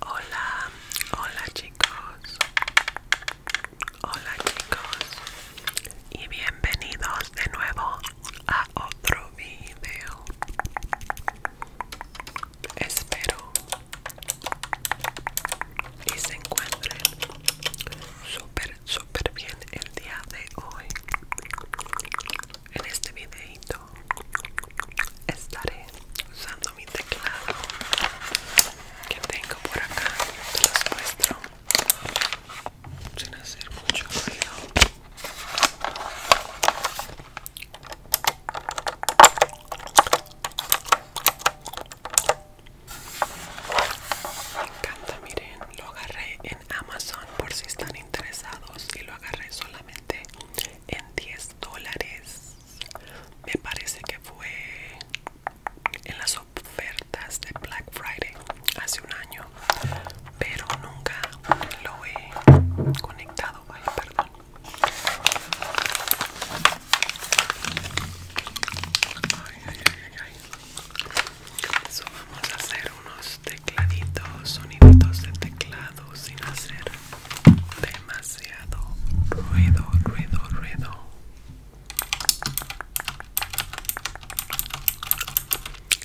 Hola, hola chicos, hola chicos y bienvenidos de nuevo a otro video. Espero y se encuentren súper, súper bien el día de hoy. En este videito estaré usando mi teclado que tengo por acá te los muestro sin hacer mucho ruido me encanta miren lo agarré en amazon por si están interesados y lo agarré solamente en 10 dólares me parece que fue en las ofertas de Black Friday hace un año pero nunca lo he conectado Ay, perdón ay, vamos a hacer unos tecladitos, sonidos de teclado sin hacer demasiado ruido, ruido, ruido.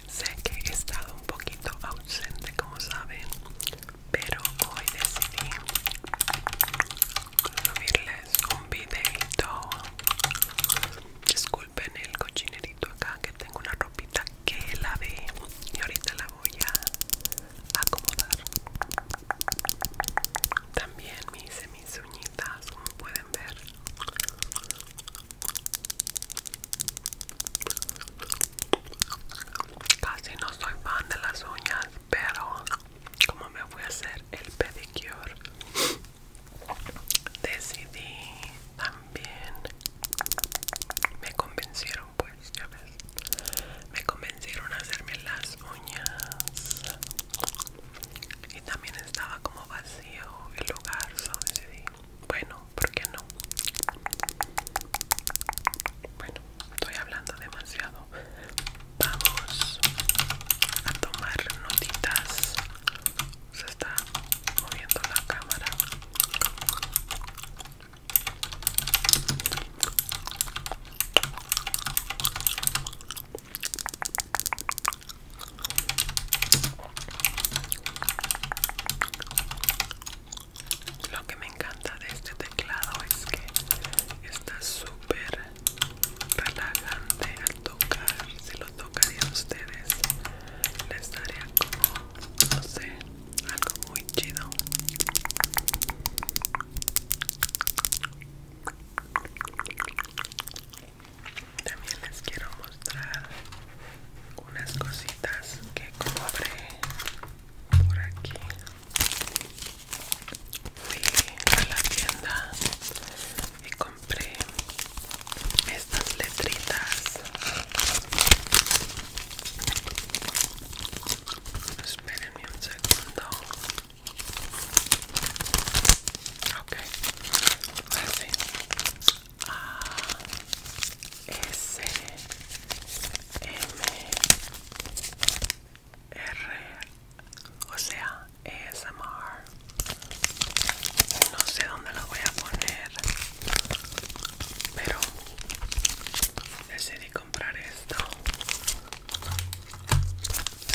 Sé que he estado un poquito ausente, como saben, pero hoy decidí subirles un videito ven el cochinerito acá que tengo una ropita que ve y ahorita la voy a acomodar también me hice mis uñitas como pueden ver casi no soy fan de las uñas pero como me voy a hacer el pedicure decidí también me convencieron pues ya ves me convencieron a hacerme las uñas y también estaba como vacío el lugar decidí bueno por qué no bueno estoy hablando demasiado vamos a tomar notitas se está moviendo la cámara lo que me encanta de este teclado es que está súper relajante tocar, si lo tocaría a ustedes, les daría como, no sé, algo muy chido. También les quiero mostrar unas cositas que compré por aquí. Fui a la tienda estas letritas. Espérenme un segundo. Ok. A S M R o sea ASMR. No sé dónde lo voy a poner, pero decidí comprar esto.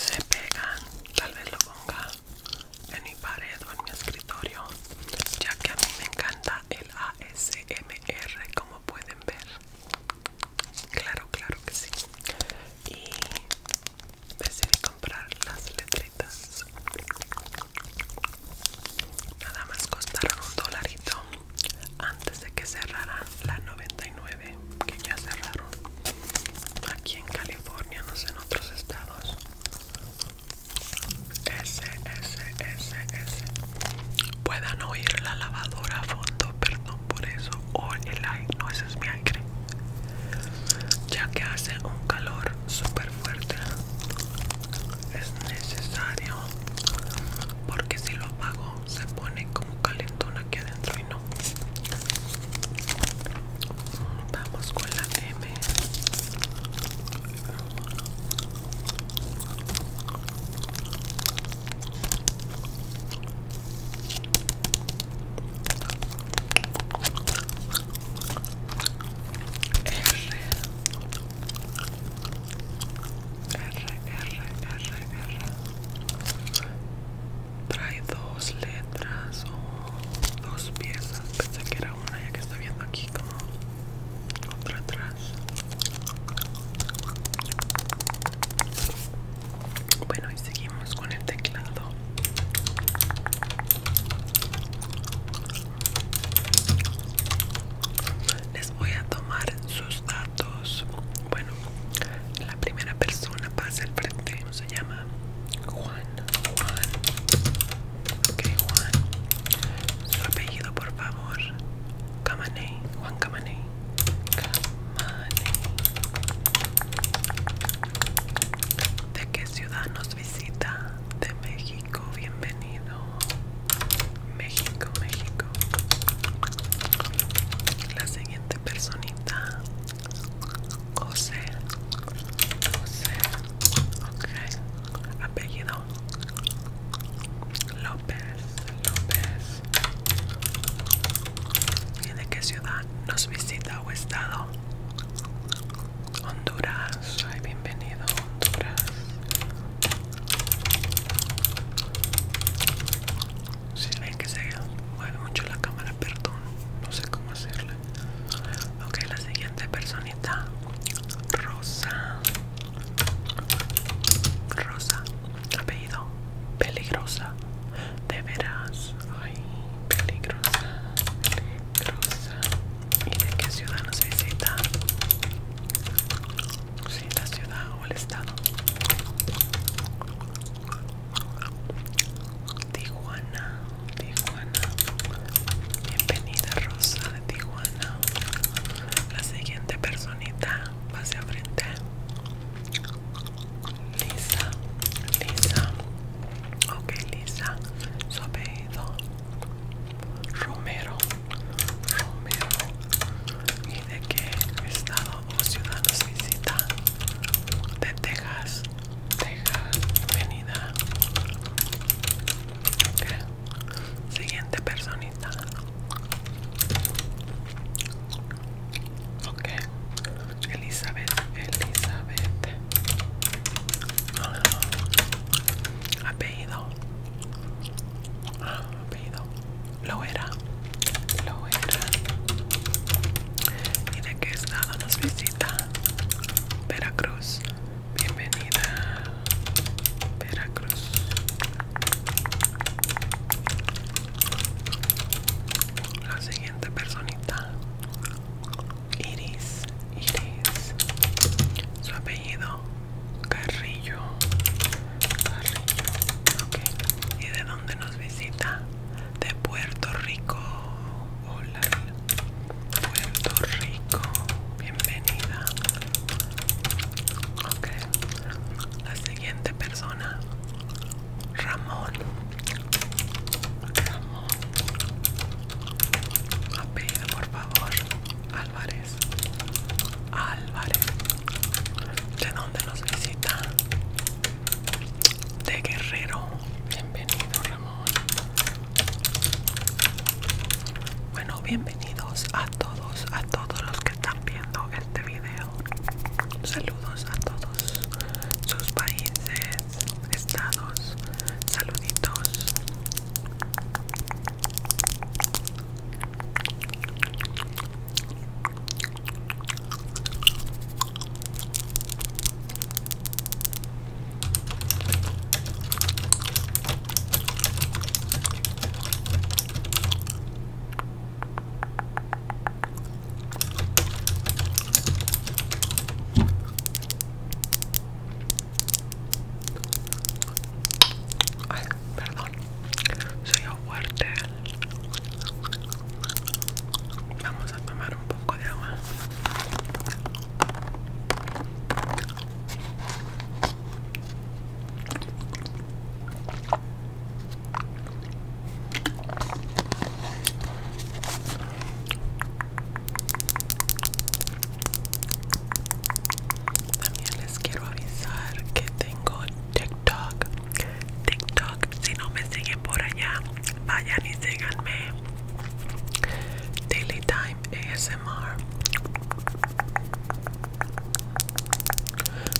Se pegan, tal vez lo ponga en mi pared o en mi escritorio, ya que a mí me encanta el ASMR, como pueden ver. Claro, claro que sí. Y decidí comprar las letritas nada más costaron un dolarito antes de que cerraran la 99 que ya cerraron aquí en California no sé en otros estados S, S, S, S, puedan oír la lavadora a fondo perdón por eso o el aire no ese es mi ya que hace un calor super fuerte es necesario porque si lo apago se pone como calentón aquí adentro y no vamos con la M R R R R Trae dos letras o dos piezas. Pensé que era una ya que está viendo aquí como otra atrás. Bueno, y seguimos con el teclado. Les voy a tomar sus datos. Bueno, la primera persona pasa al frente. se llama? Juan. Juan. Ok, Juan. Su apellido, por favor. Camaney. Juan Camaney. ¿De qué ciudad nos visita? De México, bienvenido. México, México. La siguiente personita. José. José. Ok. Apellido. López. López. ¿Y de qué ciudad nos visita o estado? Honduras. Ay, bienvenido Honduras. Si ven que se mueve mucho la cámara, perdón. No sé cómo hacerle. Ok, la siguiente personita. Rosa. Rosa. Apellido peligrosa. De veras. Ay, peligrosa. ¿Y de qué ciudad nos visita? si la ciudad o el estado. Tijuana, Tijuana. Bienvenida Rosa de Tijuana. La siguiente personita va a frente. Lisa, Lisa, ok Lisa, su apellido Romero, Romero, y de qué estado o ciudad nos visita, de Texas, Texas, venida, ok, siguiente persona Ok, Elizabeth, Elizabeth. apellido. Lo era. Lo era. ¿Y de qué estado nos visita? Veracruz. Bienvenida. Veracruz. La siguiente personita, Iris, Iris, su apellido Carrillo, Carrillo, ok. ¿Y de dónde nos visita? De Puerto Rico. Hola, Puerto Rico. Bienvenida. Ok, la siguiente persona, Ramón. Ramón. Apellido, por favor. Álvarez. Álvarez. ¿De dónde nos visita? De Guerrero. Bienvenido, Ramón. Bueno, bienvenidos a todos, a todos los que están viendo este video. Saludos a todos sus países, estados, saluditos. Ay, perdón, soy yo fuerte. Vamos a tomar un poco de agua. También les quiero avisar que tengo TikTok. TikTok, si no me siguen por allá, vayan y síganme. Daily Time ASMR.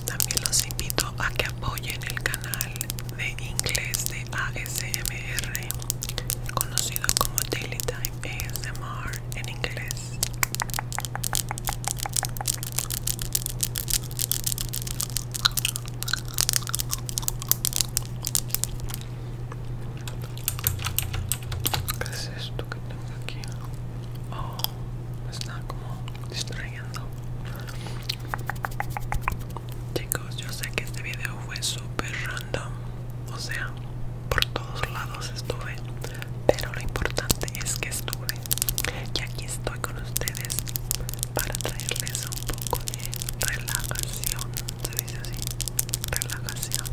También los invito a que apoyen el canal de inglés de ASMR, conocido como Daily Time ASMR en inglés. ¿Qué es esto que tengo aquí? Oh, me está como distrayendo. Chicos, yo sé que este video fue súper random. O sea, por todos lados estuve. Pero lo importante es que estuve. Y aquí estoy con ustedes para traerles un poco de relajación. ¿Se dice así? relajación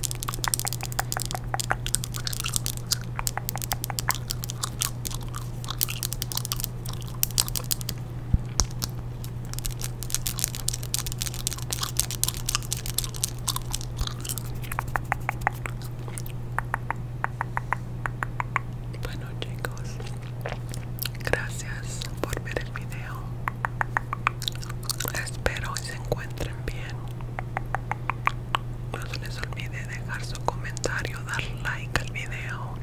bueno chicos gracias por ver el video Espero que se encuentren bien. No se les olvide dejar su comentario, dar like al video.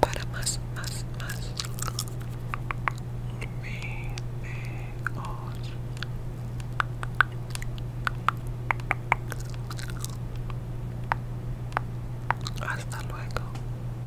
Para más, más, más videos. Hasta luego.